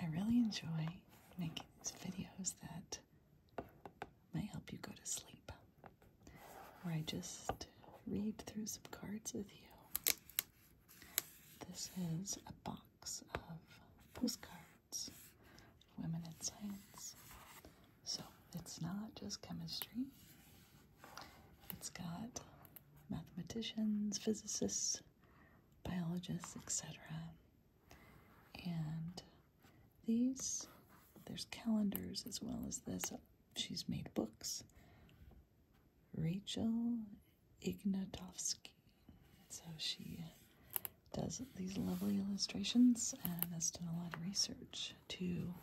I really enjoy making these videos that might help you go to sleep, where I just read through some cards with you. This is a box of postcards, Women in Science. So it's not just chemistry, it's got mathematicians, physicists, biologists, etc. And these, there's calendars as well as this. She's made books. Rachel Ignatovsky. So she does these lovely illustrations and has done a lot of research too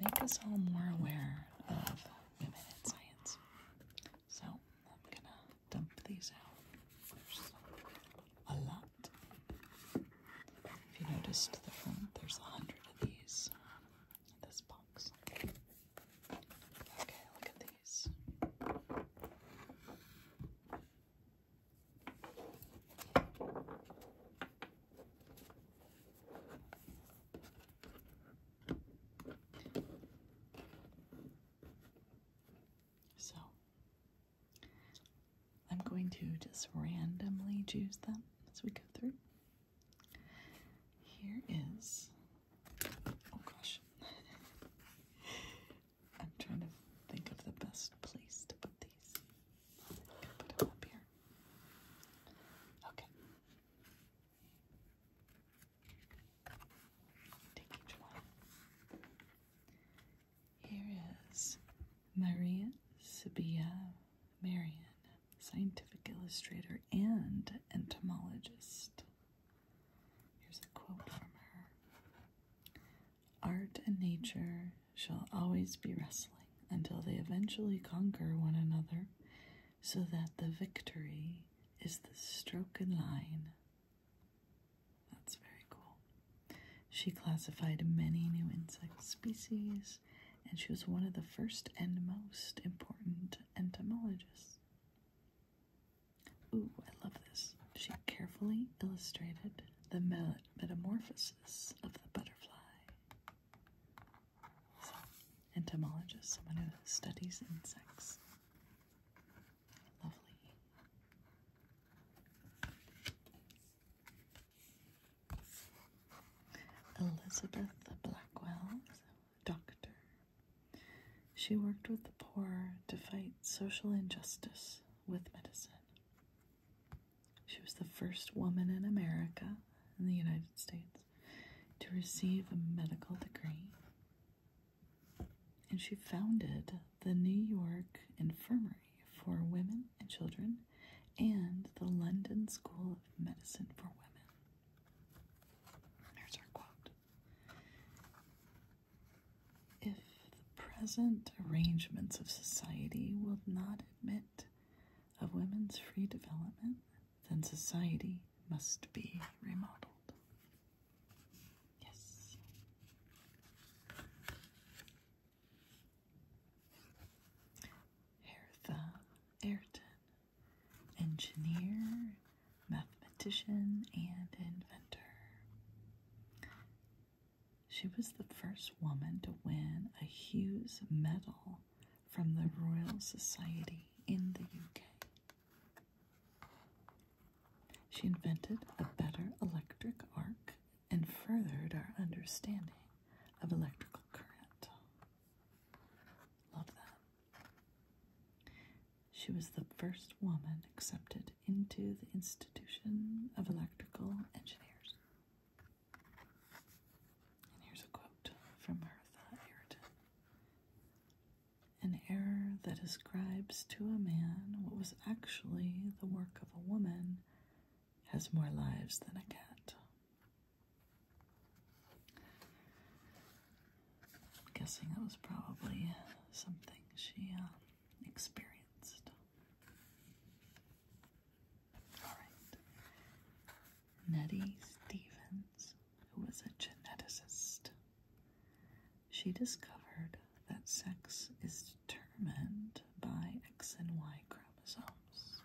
make us all more aware of women in science. So I'm gonna dump these out. There's a lot. If you noticed the front, there's a hundred of these in um, this box. Okay, look at these. So I'm going to just randomly choose them as we go through. Here is oh gosh. I'm trying to think of the best place to put these. put them up here. Okay. Take each one. Here is Maria Sabia Marion, scientific illustrator and entomologist. Here's a quote from her Art and nature shall always be wrestling until they eventually conquer one another, so that the victory is the stroke in line. That's very cool. She classified many new insect species, and she was one of the first and most important entomologists. Ooh, I love this. She carefully illustrated the metamorphosis of the butterfly. So, entomologist, someone who studies insects. Lovely. Elizabeth Blackwell, doctor. She worked with the poor to fight social injustice with medicine. She was the first woman in America, in the United States, to receive a medical degree. And she founded the New York Infirmary for Women and Children and the London School of Medicine for Women. There's our quote. If the present arrangements of society will not admit of women's free development, then society must be remodeled. Yes. Hertha Ayrton, engineer, mathematician, and inventor. She was the first woman to win a Hughes Medal from the Royal Society in the UK. She invented a better electric arc and furthered our understanding of electrical current. Love that. She was the first woman accepted into the Institution of Electrical Engineers here's a quote from Hertha Ayrton. An error that ascribes to a man what was actually the work of a woman has more lives than a cat. I'm guessing that was probably something she uh, experienced. Nettie Stevens, who was a geneticist, she discovered that sex is determined by X and Y chromosomes.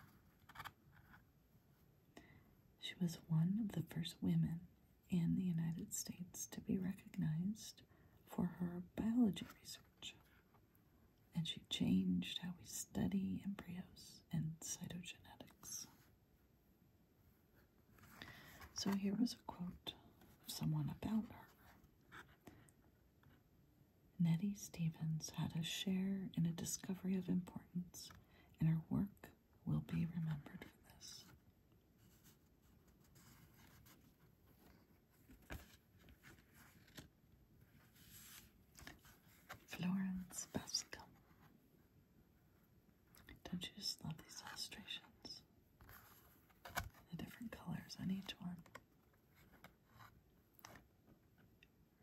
She was one of the first women in the United States to be recognized for her biology research and she changed how we study embryos and cytogenetics. So here was a quote of someone about her. Nettie Stevens had a share in a discovery of importance, and her work will be remembered for this. Florence Bascom. Don't you just love these illustrations? The different colors on each one.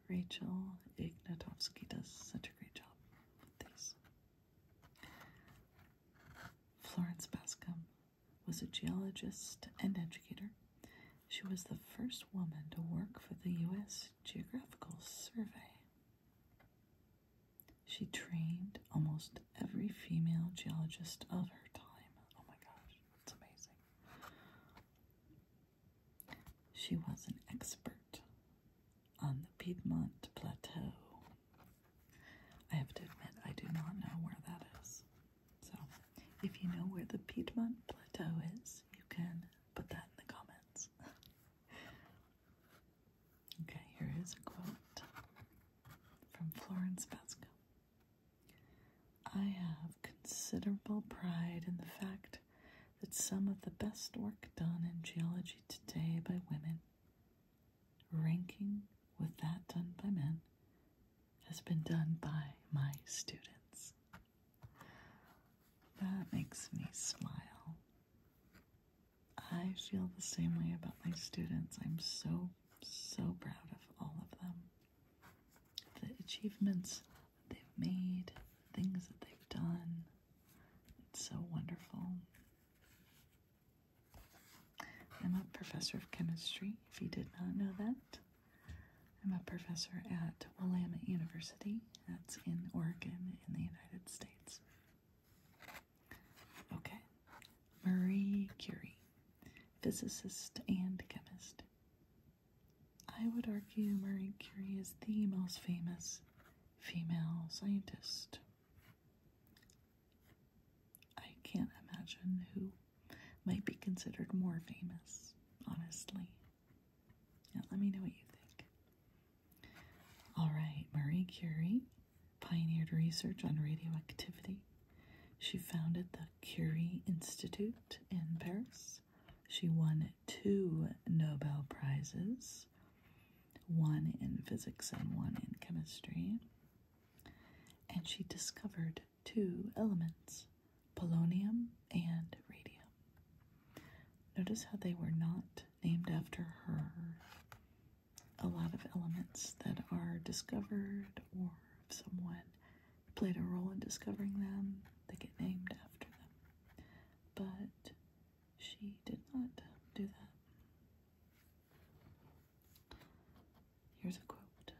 Rachel Ignatovsky does such a great job with these. Florence Bascom was a geologist and educator. She was the first woman to work for the U.S. Geographical Survey. She trained almost every female geologist of her time. Oh my gosh, that's amazing. She was an expert on the Piedmont Plateau. I have to admit, I do not know where that is. So, if you know where the Piedmont Plateau is, you can Put that in the comments. okay, here is a quote from Florence Vesco. I have considerable pride in the fact that some of the best work done in geology today by women, ranking with that done by men, has been done by my students. That makes me smile. I feel the same way about my students. I'm so, so proud of all of them. The achievements they've made, things that they've done. It's so wonderful. I'm a professor of chemistry, if you did not know that. I'm a professor at Willamette University. That's in Oregon in the United States. Okay. Marie Curie, physicist and chemist. I would argue Marie Curie is the most famous female scientist. I can't imagine who might be considered more famous, honestly. Now let me know what you think. All right, Marie Curie pioneered research on radioactivity. She founded the Curie Institute in Paris. She won two Nobel Prizes, one in physics and one in chemistry. And she discovered two elements polonium, and radium. Notice how they were not named after her. A lot of elements that are discovered, or someone played a role in discovering them, they get named after them. But she did not do that. Here's a quote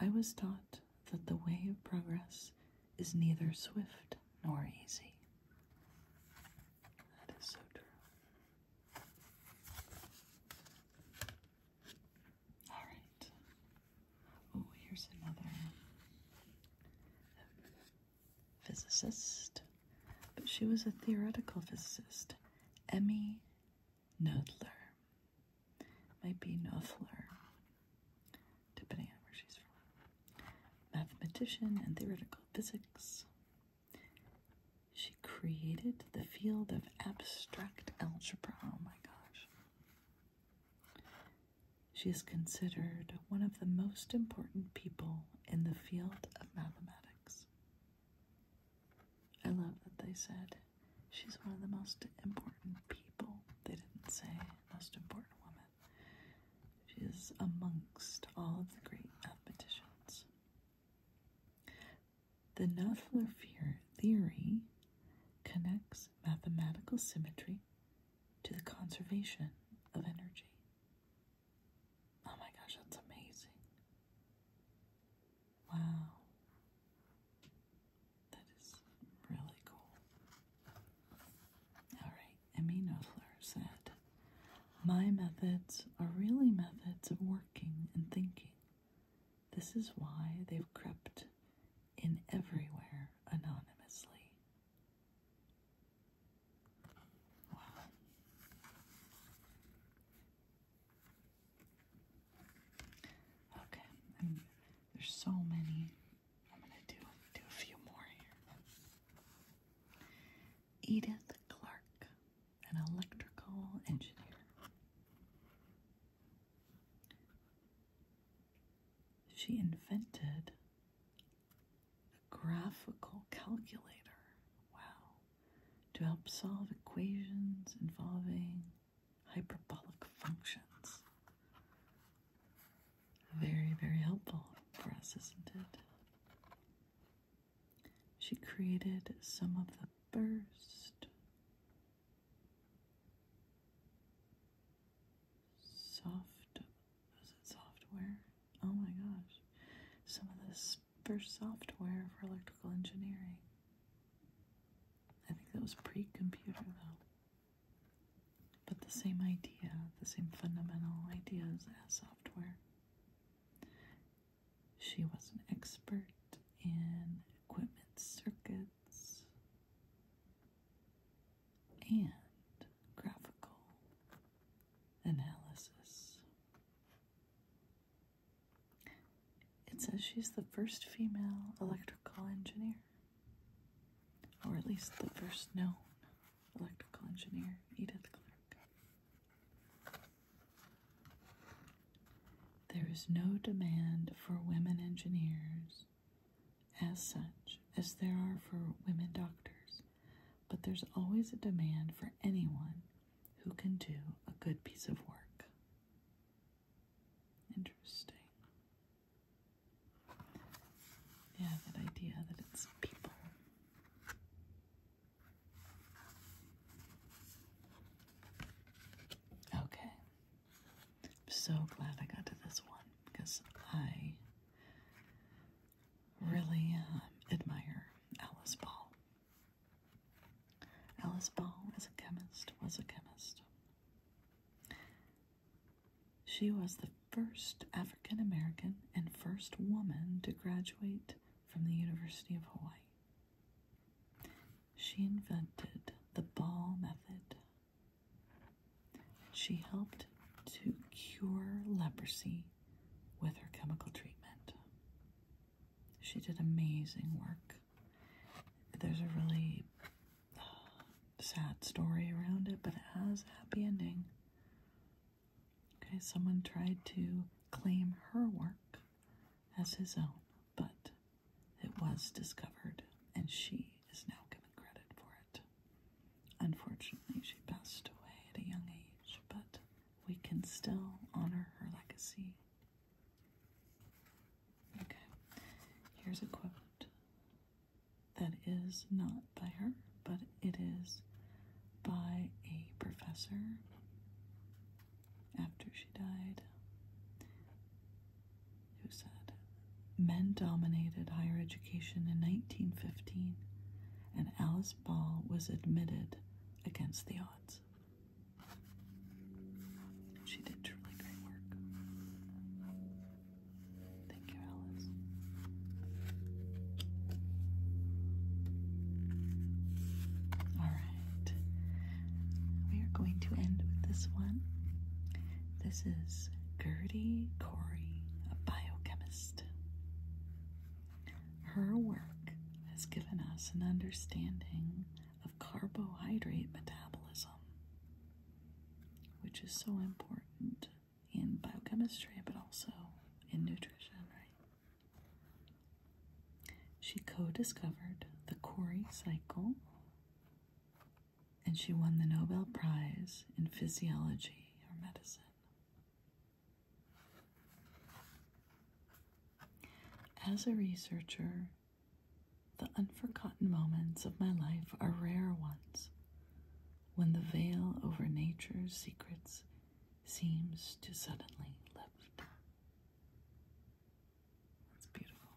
I was taught that the way of progress is neither swift nor easy. That is so true. All right. Oh, here's another physicist, but she was a theoretical physicist, Emmy Noether. Might be Noether, depending on where she's from. Mathematician and theoretical physics. She created the field of abstract algebra. Oh my gosh. She is considered one of the most important people in the field of mathematics. I love that they said she's one of the most important people. They didn't say most important modern woman. She is amongst all of the great mathematicians. The Noether theory connects mathematical symmetry to the conservation of energy. Oh my gosh, that's amazing. Wow. That is really cool. Alright, Emmy said, My methods are really methods of working and thinking. This is why they've crept in everywhere anonymously. Wow. Okay, there's so many I'm gonna do do a few more here. Edith Clark, an electrical engineer. She invented a graphical calculator. Wow. To help solve equations involving hyperbolic functions. Very, very helpful for us, isn't it? She created some of the first soft was it software? Oh my gosh. Some of the first software for electrical engineering. I think that was pre-computer though. But the same idea, the same fundamental ideas as software. She was an expert in equipment circuits and graphical analysis. It says she's the first female electrical engineer. Or at least the first known electrical engineer, Edith Clark. There is no demand for women engineers as such as there are for women doctors, but there's always a demand for anyone who can do a good piece of work. Interesting. Yeah, that idea that it's people. Okay. I'm so glad I got to this one because I really um, admire Alice Ball. Alice Ball is a chemist, was a chemist. She was the first African American and first woman to graduate from the University of Hawaii. She invented the ball method. She helped to cure leprosy with her chemical treatment. She did amazing work. There's a really uh, sad story around it, but it has a happy ending. Okay, someone tried to claim her work as his own, but it was discovered, and she is now given credit for it. Unfortunately, she passed away at a young age, but we can still honor her legacy. Okay, here's a quote. That is not by her, but it is by a professor after she died who said, Men dominated higher education in 1915, and Alice Ball was admitted against the odds she did truly great work. Thank you, Alice. Alright. We are going to end with this one. This is Gertie Corey, a biochemist. Her work has given us an understanding of carbohydrate metabolism which is so important in biochemistry but also in nutrition, right? She co discovered the Cori cycle and she won the Nobel Prize in Physiology or Medicine. As a researcher, the unforgotten moments of my life are rare ones when the veil over nature's secrets seems to suddenly lift. That's beautiful.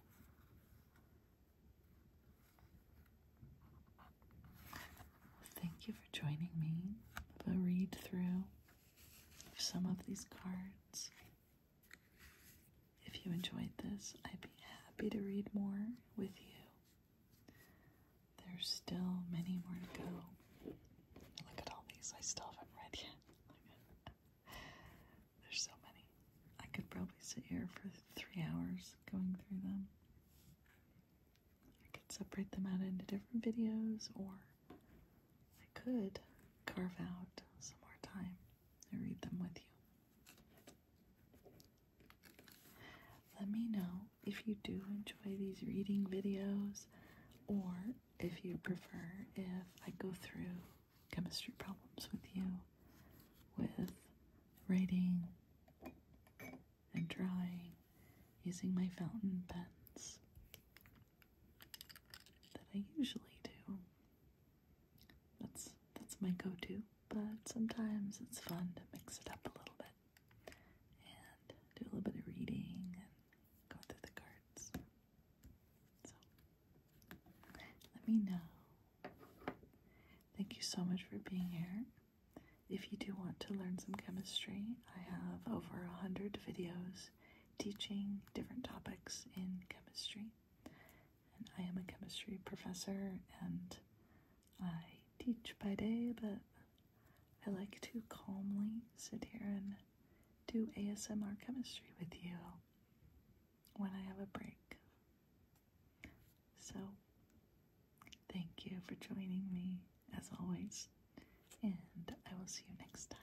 Thank you for joining me for a read through some of these cards. If you enjoyed this, I'd be happy to read more with you. There's still many more to go. Look at all these I still haven't read yet. There's so many. I could probably sit here for three hours going through them. I could separate them out into different videos, or I could carve out some more time and read them with you. Let me know if you do enjoy these reading videos or if you prefer if I go through chemistry problems with you with writing and drawing using my fountain pens that I usually do. That's that's my go-to, but sometimes it's fun to mix it up a little bit and do a little bit of reading and go through the cards. So let me know. Thank you so much for being here. If you do want to learn some chemistry, I have over a hundred videos teaching different topics in chemistry and I am a chemistry professor and I teach by day, but I like to calmly sit here and do ASMR chemistry with you when I have a break. So, thank you for joining me as always, and I will see you next time.